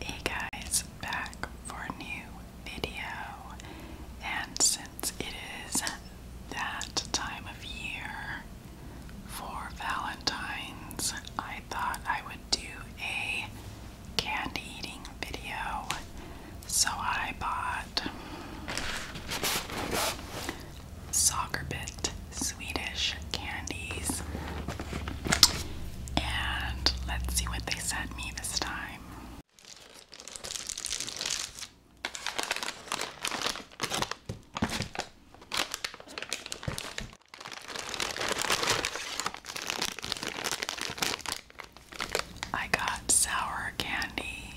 Hey guys, back for a new video, and since it is that time of year for Valentine's, I thought I would do a candy eating video. So I bought soccer bit Swedish candies. And let's see what they sent me this time. I got sour candy.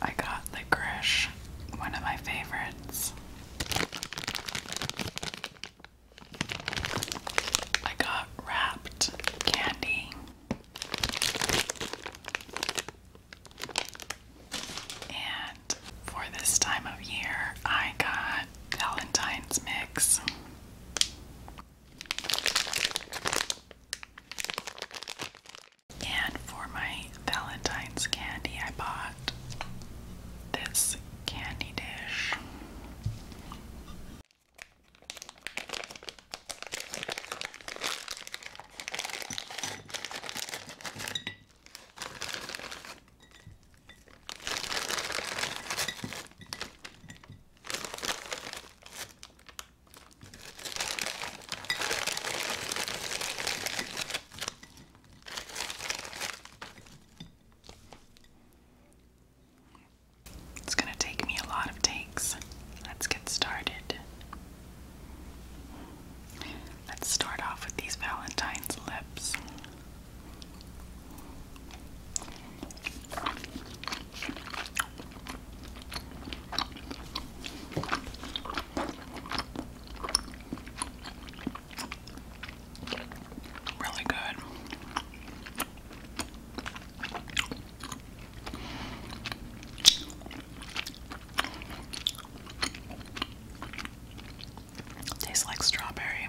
I got licorice, one of my favorites. I got wrapped candy. And for this time of year, I got Valentine's Mix. And for my Valentine's candy, I bought this candy dish. It's going to take me a lot of takes. Let's get started. Let's start off with these Valentine's lips. Really good. Tastes like strawberry.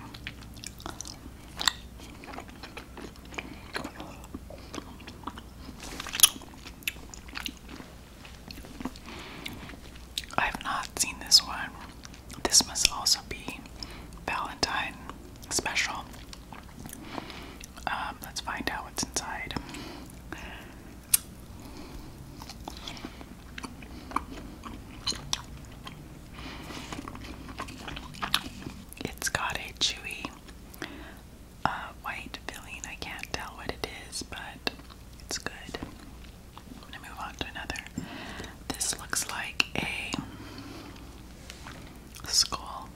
I've not seen this one. This must also be Valentine special. Um, let's find out what's inside. It's got a chewy uh, white filling. I can't tell what it is, but it's good. I'm gonna move on to another. This looks like a skull.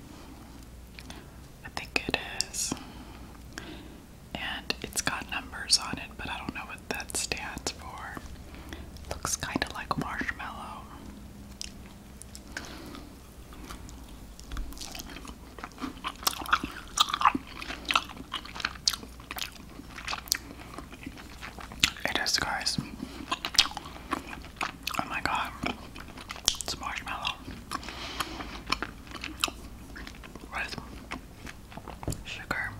I think it is and it's got numbers on it, but I don't know what that stands for. Looks kind of like marshmallow. It is, guys. Oh my god, it's marshmallow with sugar.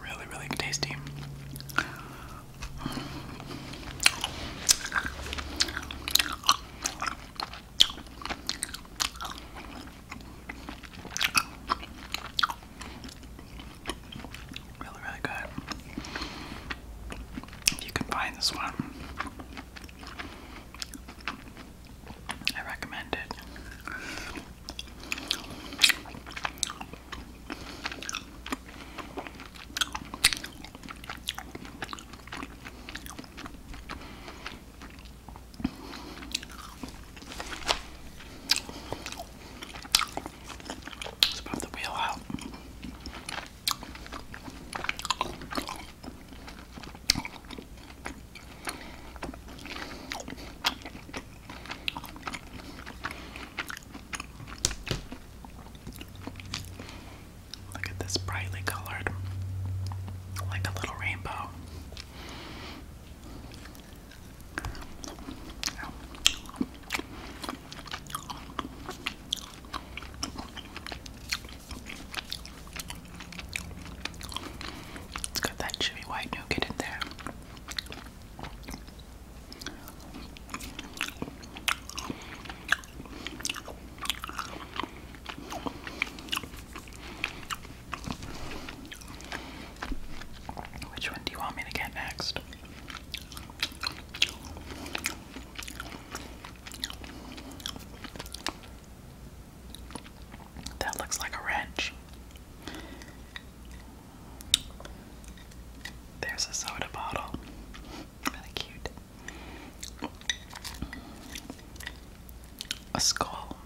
Really, really tasty. Really, really good. If you can find this one, I recommend it. It's about the wheel out. Look at this brightly colored, like a little rainbow. Oh got that chewy white nougat in there. Which one do you want me to get next? That looks like a wrench. There's a soda bottle. Really cute. A skull.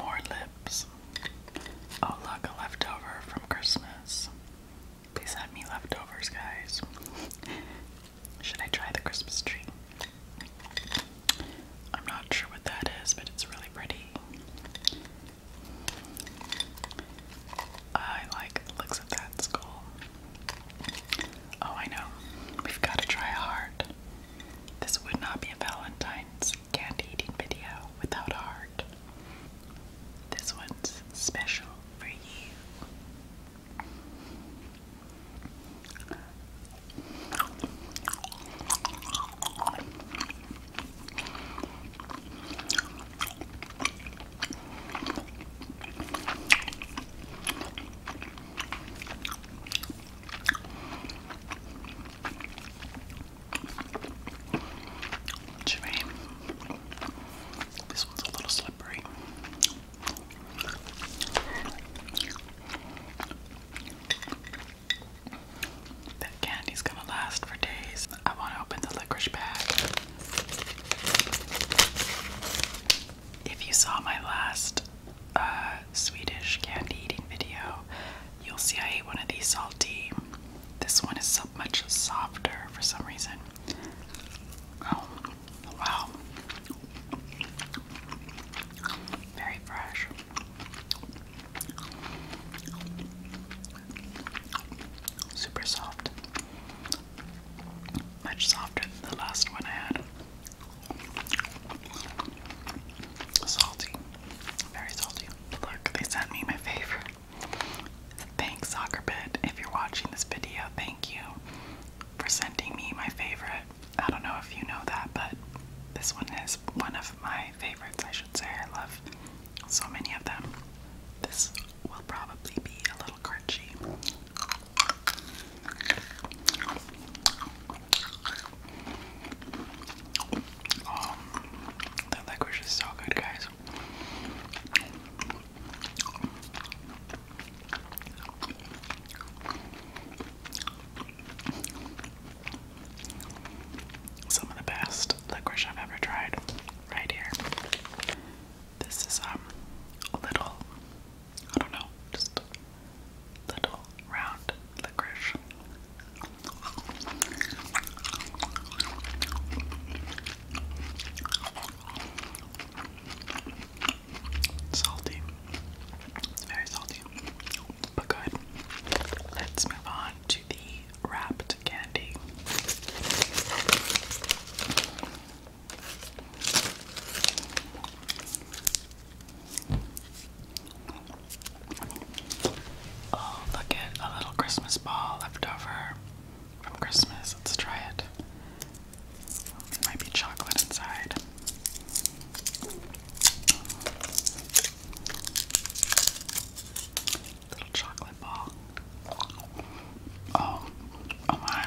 More lips. Oh, look, a leftover from Christmas. Please have me leftovers, guys. Should I try the Christmas tree? I'm not sure what that is, but it's really pretty. I like looks of that skull. Oh, I know. We've got to try hard. This would not be a Valentine's candy eating video without a heart. This one's special for you. Jimmy, this one's a little slippery. That candy's gonna last for days. I want to open the licorice bag. If you saw my last uh, Swedish candy eating video, you'll see I ate one of these salty this one is so much softer for some reason. Oh, wow. Very fresh. Super soft. Much softer than the last one I had. Salty. Very salty. Look, they sent me my favorite. Thanks, soccer SoccerBit, if you're watching this video. Thank you for sending me my favorite. I don't know if you know that, but this one is one of my favorites, I should say. I love so many of them. This will probably be a little crunchy. Oh, the licorice is so good, guys. Some of the best licorice I've ever tried, right here. This is um, a little, I don't know, just little round licorice. Salty. It's very salty. But good. Let's move on to the wrapped candy. Oh, look at a little Christmas ball left over from Christmas. Let's try it. might be chocolate inside. Little chocolate ball. Oh, oh my.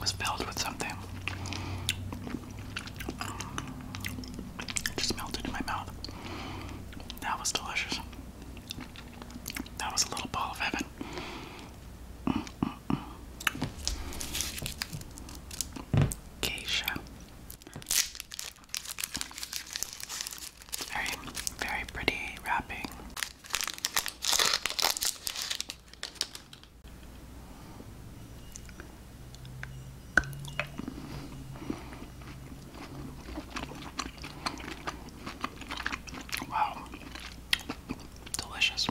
was filled with something. Um, just melted in my mouth. That was delicious. That was a little ball of heaven. Mm Very, very pretty wrapping. Wow, delicious.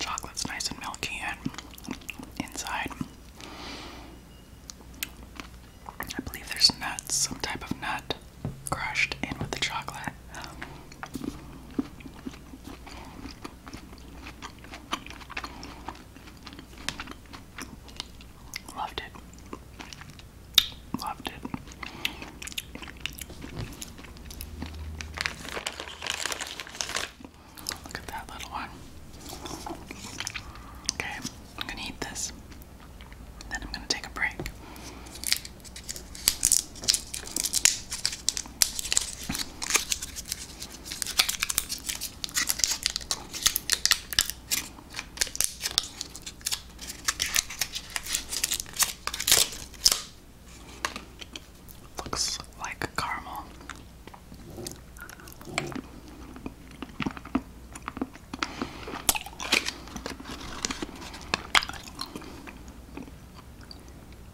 Chocolate's nice and milky and inside. I believe there's nuts, some type of nut crushed in with the chocolate. Loved it. Loved it. Look at that little one. Okay, I'm gonna eat this. Then I'm gonna take a break. Looks like caramel.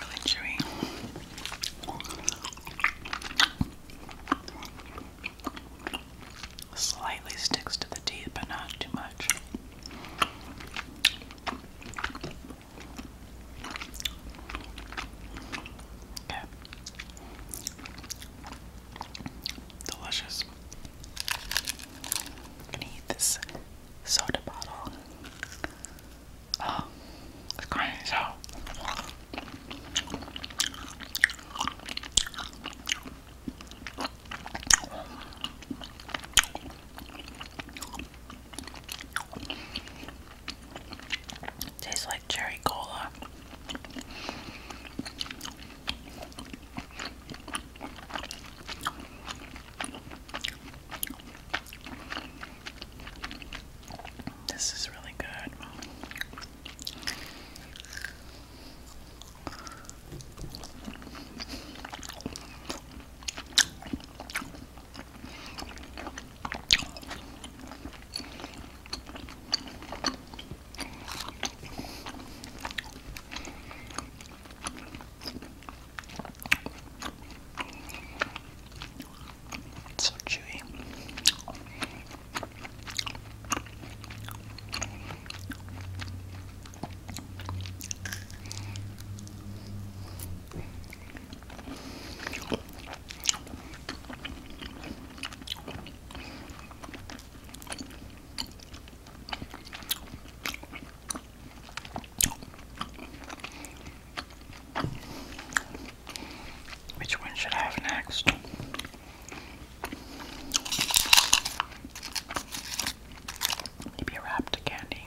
Really chewy. Slightly sticks to the teeth, but not too much. Okay. Delicious. gonna eat this soda bottle. Oh, it's grinding as hell. Tastes like cherry cola. This is really good. It's so chewy. Which one should I have next? Maybe a wrapped candy.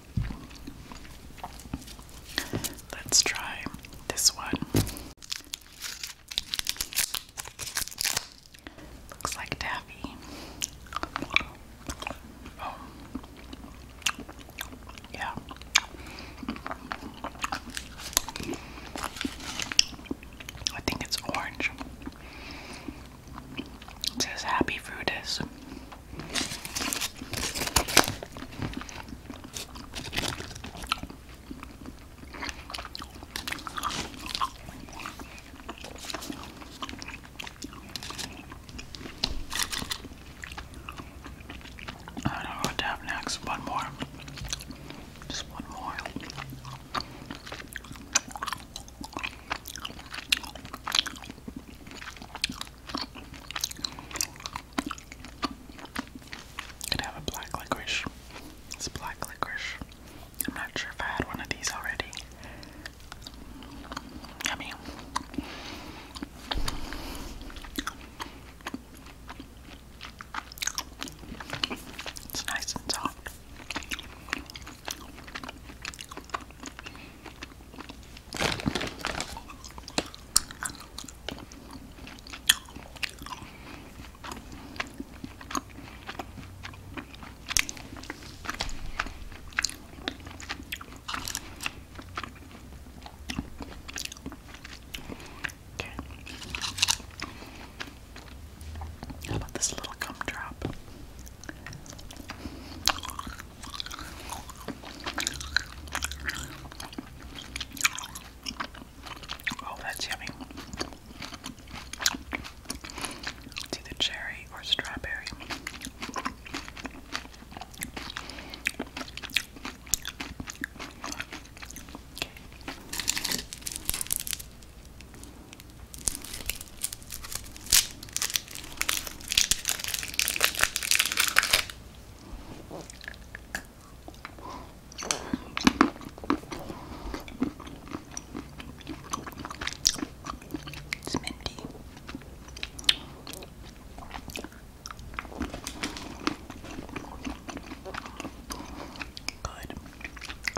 Let's try this one. Looks like taffy. Oh. Yeah. I think it's orange. It says happy fruitus. I don't know what to have next. One more. Just one more. Could have a black licorice. It's black licorice. I'm not sure if I had one of these already. Yummy. It's nice and soft. Okay. How about this little gumdrop? Oh, that's yummy. It's either cherry or strawberry. It's minty. Good.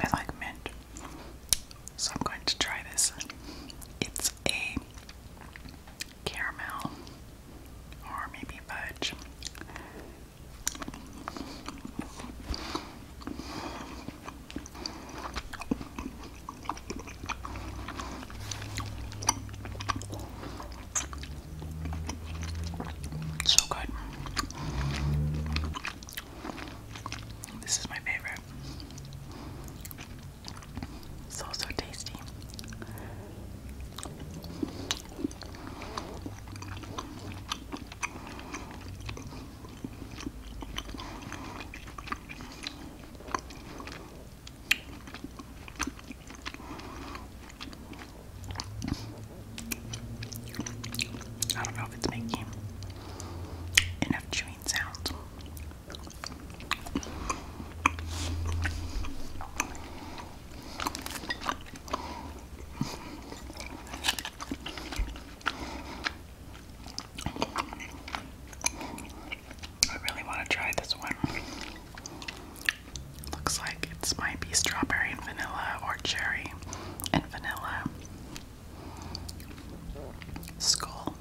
I like mint. So I'm going to try this. It's a caramel or maybe fudge. So good. This is my favorite. So, so tasty. I don't know if it's making enough chewing sounds. I really want to try this one. Looks like it might be strawberry and vanilla or cherry and vanilla skull.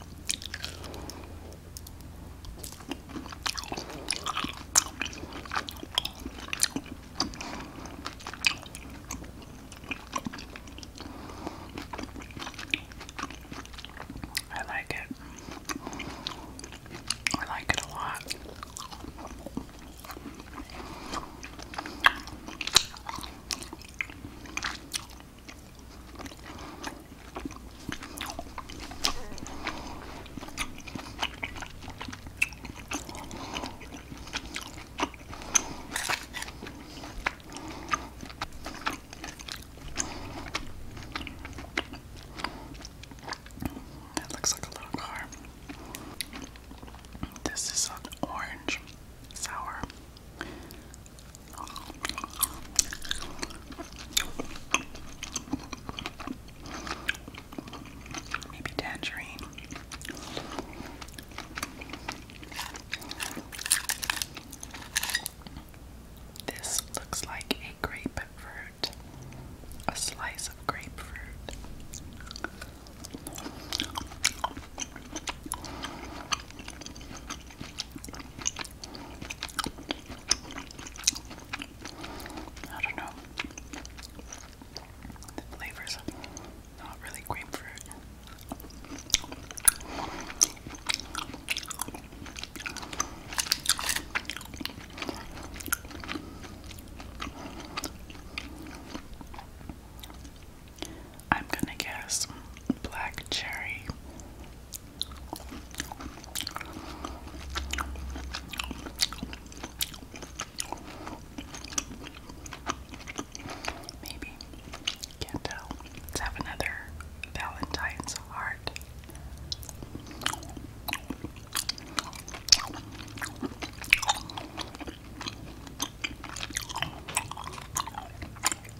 I like it. I like it a lot. That looks like a little car. This is an orange sour Maybe tangerine. This looks like a grapefruit, a slice of grapefruit. I don't know. The flavors not really grapefruit. I'm gonna guess black cherry. Maybe. Can't tell. Let's have another Valentine's heart.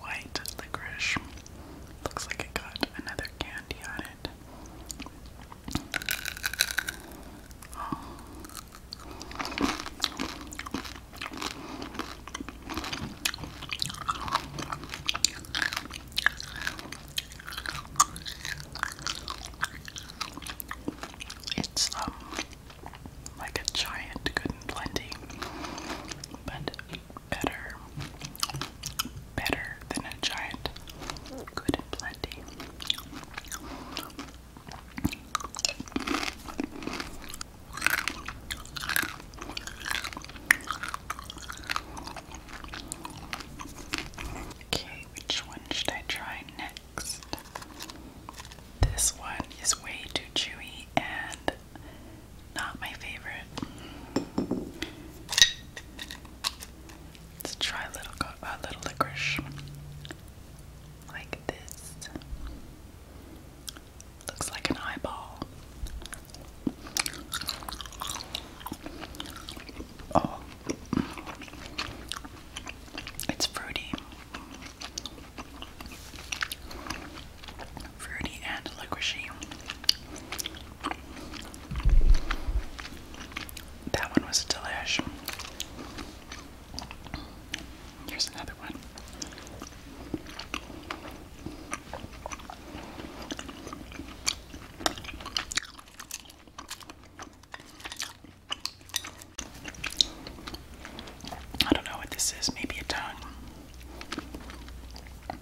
white licorice. Looks like it got another candy on it. It's um, like a giant good plenty, but better, better than a giant good and Okay, which one should I try next? This one is way too chewy and not my favorite. Let's try a little licorice. Like this. Looks like an eyeball. Oh. It's fruity fruity and liquidy. That one was delish. Here's another one. I don't know what this is, maybe a tongue.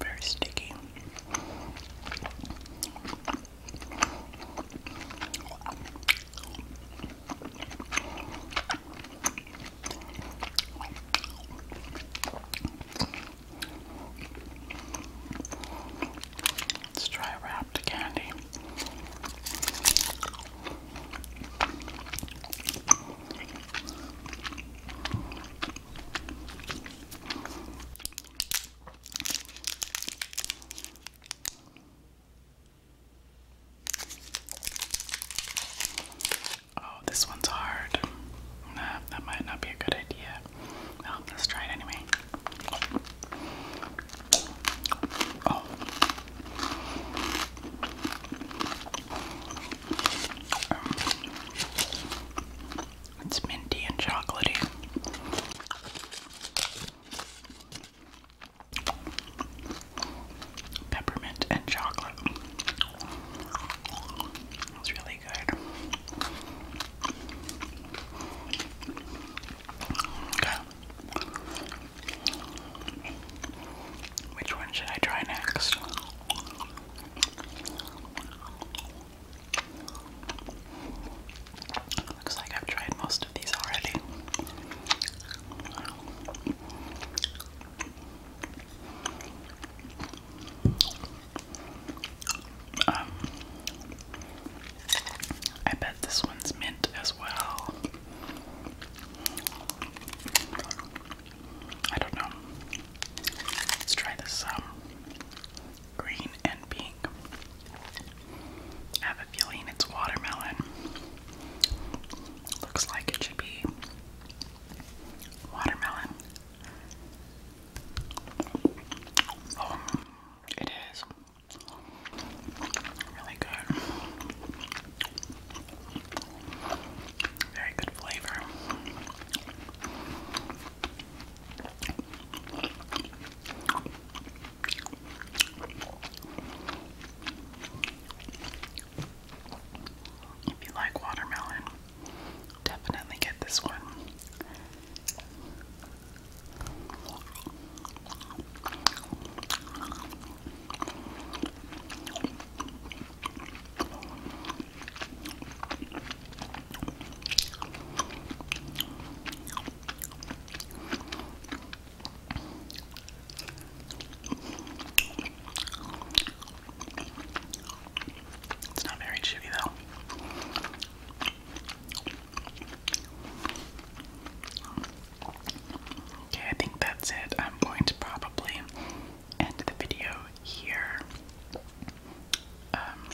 Very sticky. Let's try wrapped candy. Oh, this one's hard. Nah, that might not be a good idea. Well, let's try it anyway. Oh. It's minty and chocolatey. Peppermint and chocolate. It's really really good. Okay. Which one should I try next? Looks like I've tried most of these already. Um, I bet this one's mint as well. I don't know. Let's try this um, green and pink. have a feeling it's watermelon. Looks like it should be watermelon. Um, it is really good. Very good flavor. If you like watermelon, definitely get this one. It's not very chewy though. Okay, I think that's it. I'm going to probably end the video here. Um,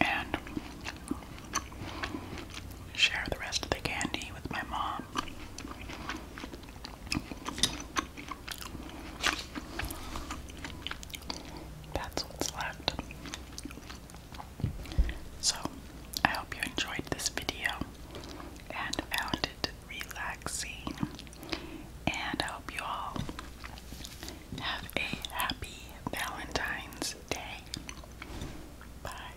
and share the rest of the candy with my mom that's what's left. So, I hope you enjoyed this video and found it relaxing. And I hope you all have a happy Valentine's Day. Bye.